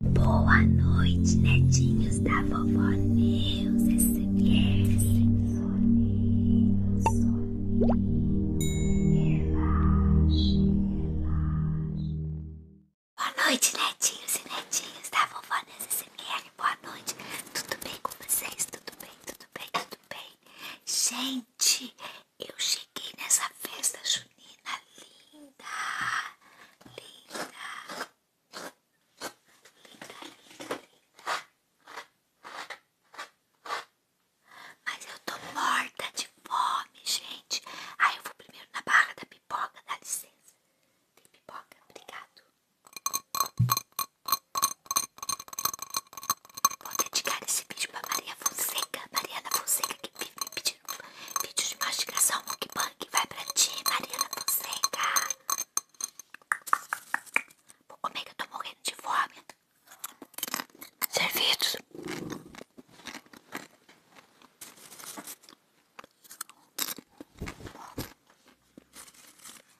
Boa noite, netinhos da vovó Neus SMR. Soninho, Boa noite, netinhos e netinhos da vovó Neus SMR. Boa noite. Tudo bem com vocês? Tudo bem, tudo bem, tudo bem? Gente, eu cheguei nessa festa junina menina linda, linda, linda, linda, linda. Mas eu tô morta de fome, gente. Aí eu vou primeiro na barra da pipoca, dá licença. Tem pipoca, obrigado. Vou dedicar esse vídeo pra Maria Fonseca, Mariana Fonseca, que vive me de vídeo de mastigação Monkey mukbang vai pra ti, Marina Fonseca. Vou comer é que eu tô morrendo de fome. Servidos.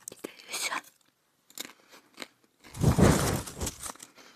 Que delícia.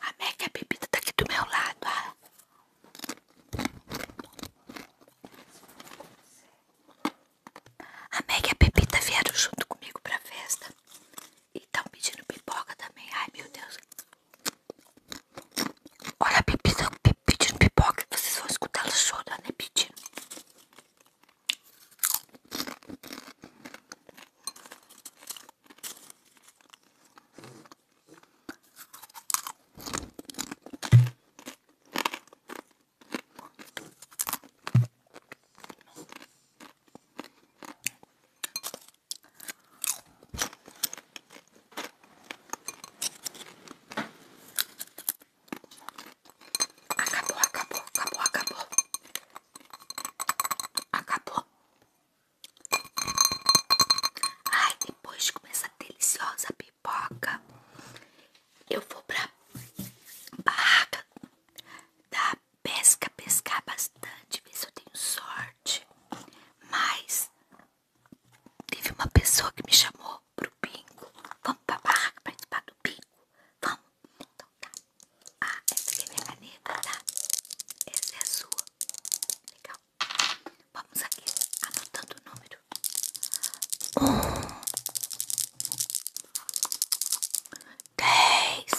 A Mac, a bebida tá aqui do meu lado, ah. A Meg e a Pepita vieram junto comigo pra festa. E estão pedindo pipoca também. Ai, meu Deus. Olha a Pepita pedindo pipoca. Vocês vão escutar ela chorando e né, pedindo. Acabou, acabou, acabou, acabou. Acabou. Ai, depois começa deliciosa pipoca, eu vou pra barraca da pesca pescar bastante, ver se eu tenho sorte. Mas teve uma pessoa que me chamou pro bingo. Vamos pra barraca participar do bingo? Vamos? Então tá. Ah, essa aqui é minha caneta, tá? Essa é a sua. Legal. Vamos aqui anotando o número um, dez,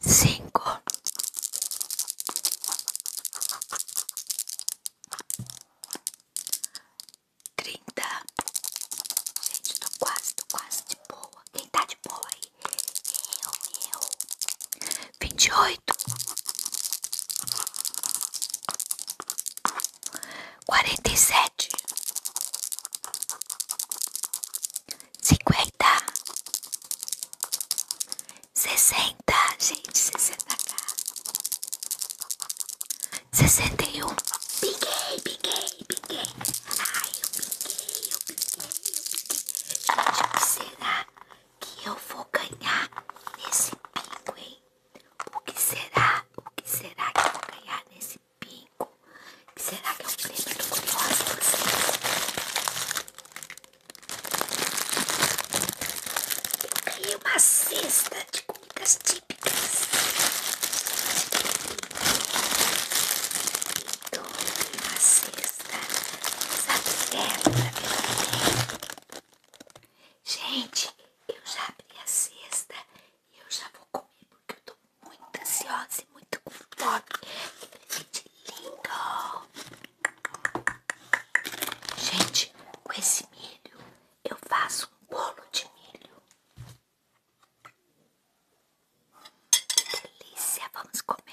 cinco, trinta. Gente, tô quase, tô quase de boa. Quem tá de boa aí? Eu, eu vinte e oito, quarenta e sete, cinquenta, sessenta, gente, sessenta sessenta e um, piquei, piguei, piguei, ai eu piguei, eu piguei, eu piguei, gente, o que será? que eu vou ganhar nesse pingo, hein? O que será? O que será que eu vou ganhar nesse pingo? O que será que é um prêmio? Eu tô curiosa vocês. Eu ganhei uma cesta de comidas típicas. Então, uma cesta. Gente, eu já abri a cesta e eu já vou comer porque eu tô muito ansiosa e muito com fome. Que presente lindo! Gente, com esse milho eu faço um bolo de milho. Que delícia! Vamos comer.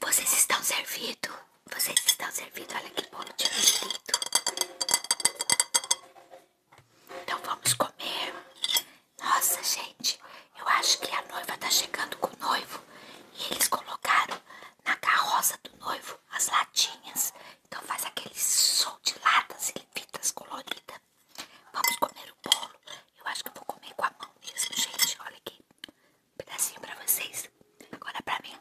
Vocês estão servidos. Vocês estão servidos. Olha que bolo de lindo. Então vamos comer. Nossa, gente. Eu acho que a noiva tá chegando com o noivo. E eles colocaram na carroça do noivo as latinhas. Então faz aquele som de latas e fitas coloridas. Vamos comer o bolo. Eu acho que eu vou comer com a mão mesmo, gente. Olha aqui. Um pedacinho pra vocês. Agora pra mim.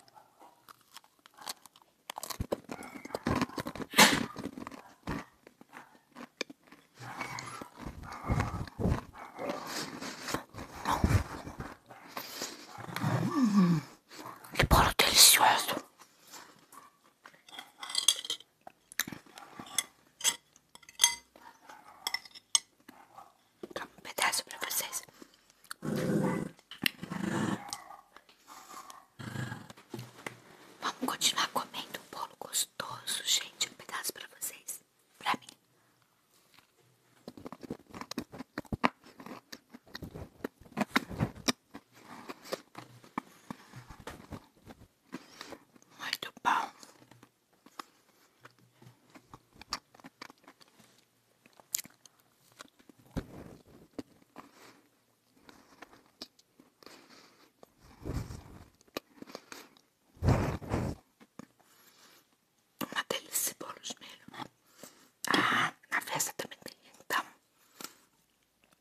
Hum, hum. que bolo delicioso um pedaço para vocês. Vamos continuar comendo um bolo gostoso, gente. Um pedaço para vocês. para mim. Muito bom. Uma delícia bolos mesmo. Ah, na festa também tem então.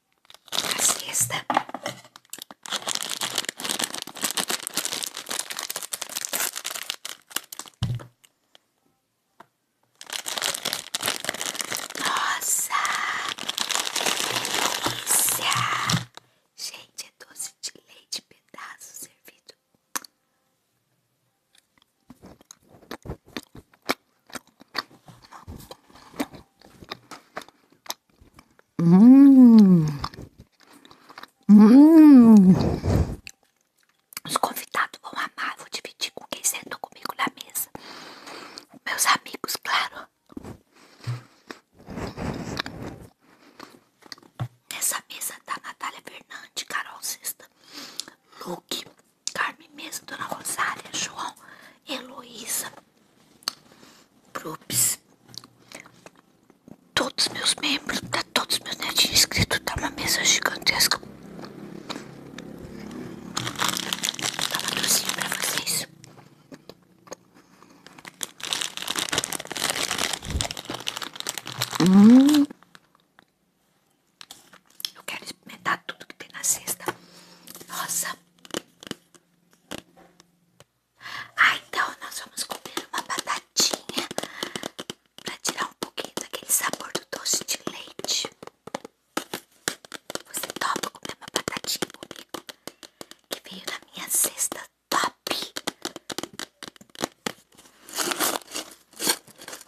a Nossa, que delícia! Gente, é doce de leite, pedaço servido. Hum. Hum. Os convidados vão amar. Vou dividir com quem sentou comigo na mesa. Meus amigos, claro. essa mesa tá Natália Fernandes, Carol Sexta, Luke, Carmen mesa, Dona Rosária, João, Heloísa, Brupes, todos meus membros, tá todos meus netinhos inscritos, tá uma mesa gigantesca. Tá uma docinha pra vocês. Hum. Eu quero experimentar tudo que tem na cesta. Nossa! Ah, então nós vamos comer uma batatinha para tirar um pouquinho daquele sabor do doce de leite. Você topa comer uma batatinha comigo? Que veio na minha cesta top.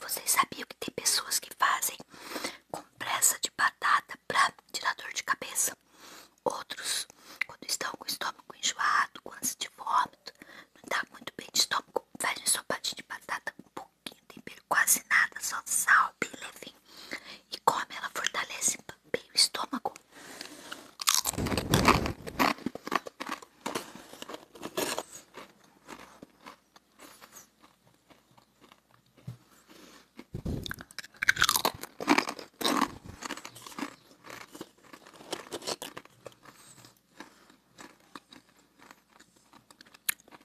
Vocês sabiam que tem pessoas que fazem compressa de batata para tirar dor de cabeça? Outros, quando estão com o estômago enjoado, com ânsia de vômito, não está muito bem de estômago, fazem só sopadinho de batata com um pouquinho de tempero, quase nada, só sal, bem levinho e come, ela fortalece bem o estômago.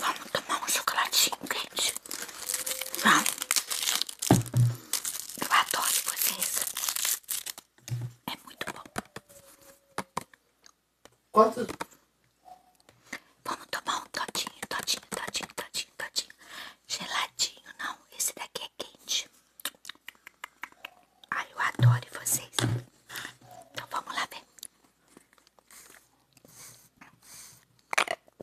Vamos tomar um chocolatinho quente. Vamos. Eu adoro vocês. É muito bom. Quantos? Vamos tomar um todinho, todinho, todinho, todinho, todinho. Geladinho, não. Esse daqui é quente. Ai, eu adoro vocês. Então vamos lá ver.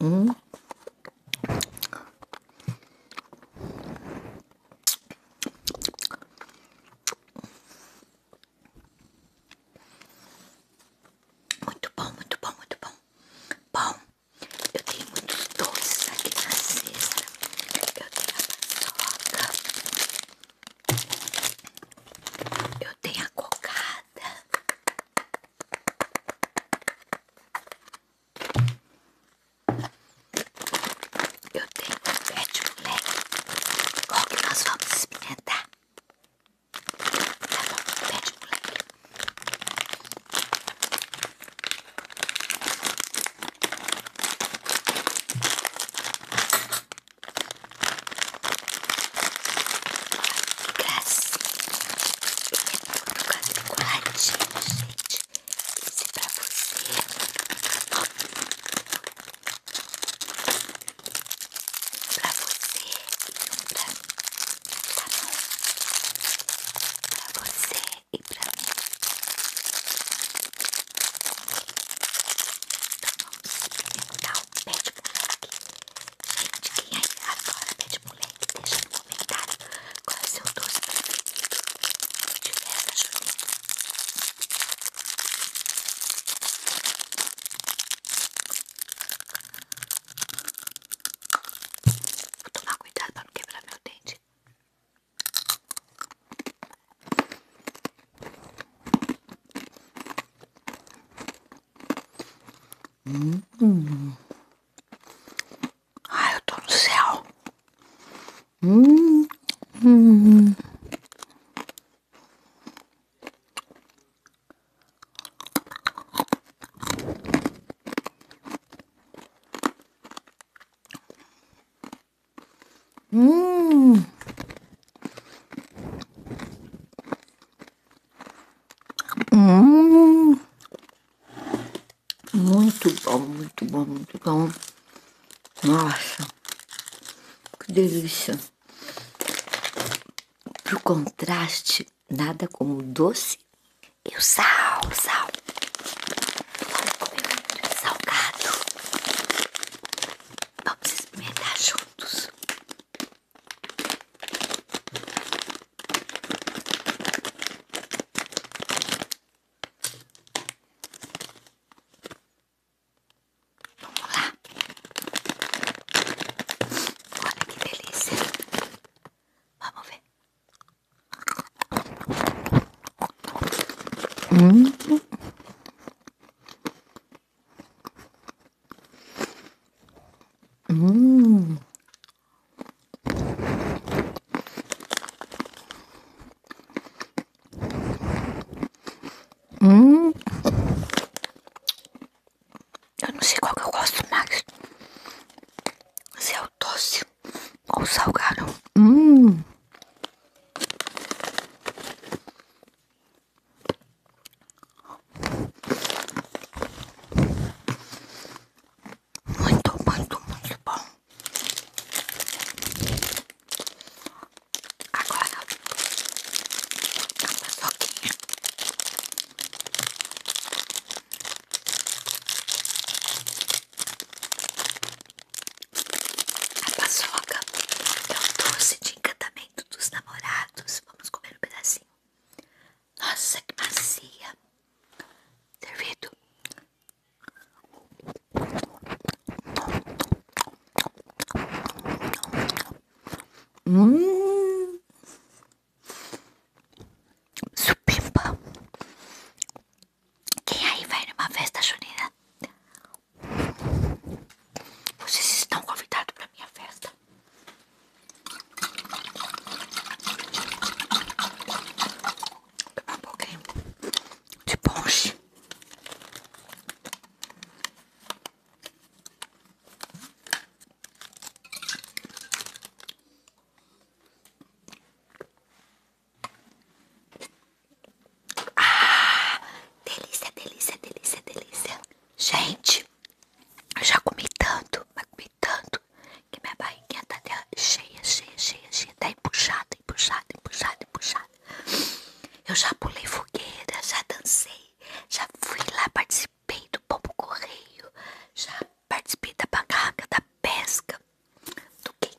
Hum. Muito bom, muito bom, muito bom. Bom, eu tenho muitos doces aqui na cesta. Eu tenho a paçoca. Eu tenho a cocada. Eu tenho um pet moleque. Qual que nós vamos experimentar? Tá bom, pet moleque. Gracinha, quadradinho, gente. Esse é pra você. Um pra você e um pra mim. Tá bom? Pra você e pra mim. Então vamos experimentar o pé de moleque. Gente, quem aí agora tá moleque, deixa no comentário qual é o seu doce preferido de festa junina. Vou tomar cuidado pra não quebrar meu dente. Hum. Ai, eu tô no céu. Hum. Hum. Hum. Hum, muito bom, muito bom, muito bom. Nossa, que delícia. o contraste, nada como o doce e o sal, sal. Agora salgado. Vamos experimentar juntos. Vamos lá. Olha que delícia. Vamos ver. Hum? Hum. Hum. Eu não sei qual que eu gosto mais. Se é o doce ou salgado. Hum. Muito, muito, muito bom. Agora, uma soquinha. A paçoca é o doce de encantamento dos namorados. Vamos comer um pedacinho. Nossa, que macia. Servido. Hum. Supimpa. Quem aí vai numa festa junina vocês estão convidados para minha festa. Pegar de ponche. Ah, delícia, delícia, delícia, delícia. Gente, eu já comi tanto, mas comi tanto que minha barriguinha tá cheia, cheia, cheia, cheia. Tá empuxada, empuxada, empuxada, empuxada. Eu já pulei fogueira, já dancei, já fui lá, participei do pombo correio, já participei da barraca, da pesca, do que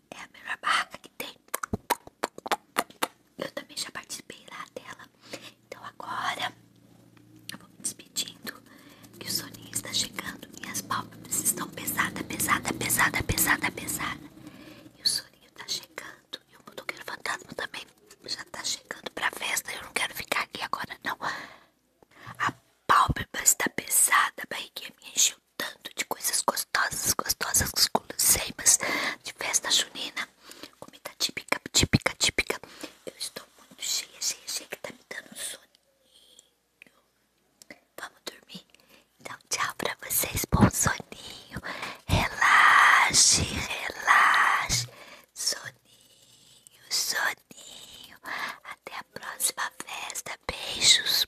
é a melhor barraca que tem. Eu também já participei lá dela. Então agora eu vou me despedindo. Que o soninho está chegando. Minhas pálpebras estão pesada, pesada, pesada, pesada, pesada. E o soninho está chegando. E o motoqueiro fantasma também já está chegando pra festa. Eu não quero ficar aqui agora, não. A pálpebra está pesada, a barriguinha me tanto de coisas gostosas, gostosas, guloseimas de festa junina, comida típica, típica, típica. Eu estou muito cheia, cheia, cheia, que tá me dando um soninho. Vamos dormir? Então, tchau pra vocês, bom soninho. Relaxe, relaxe. Soninho, soninho. Até a próxima festa. Beijos.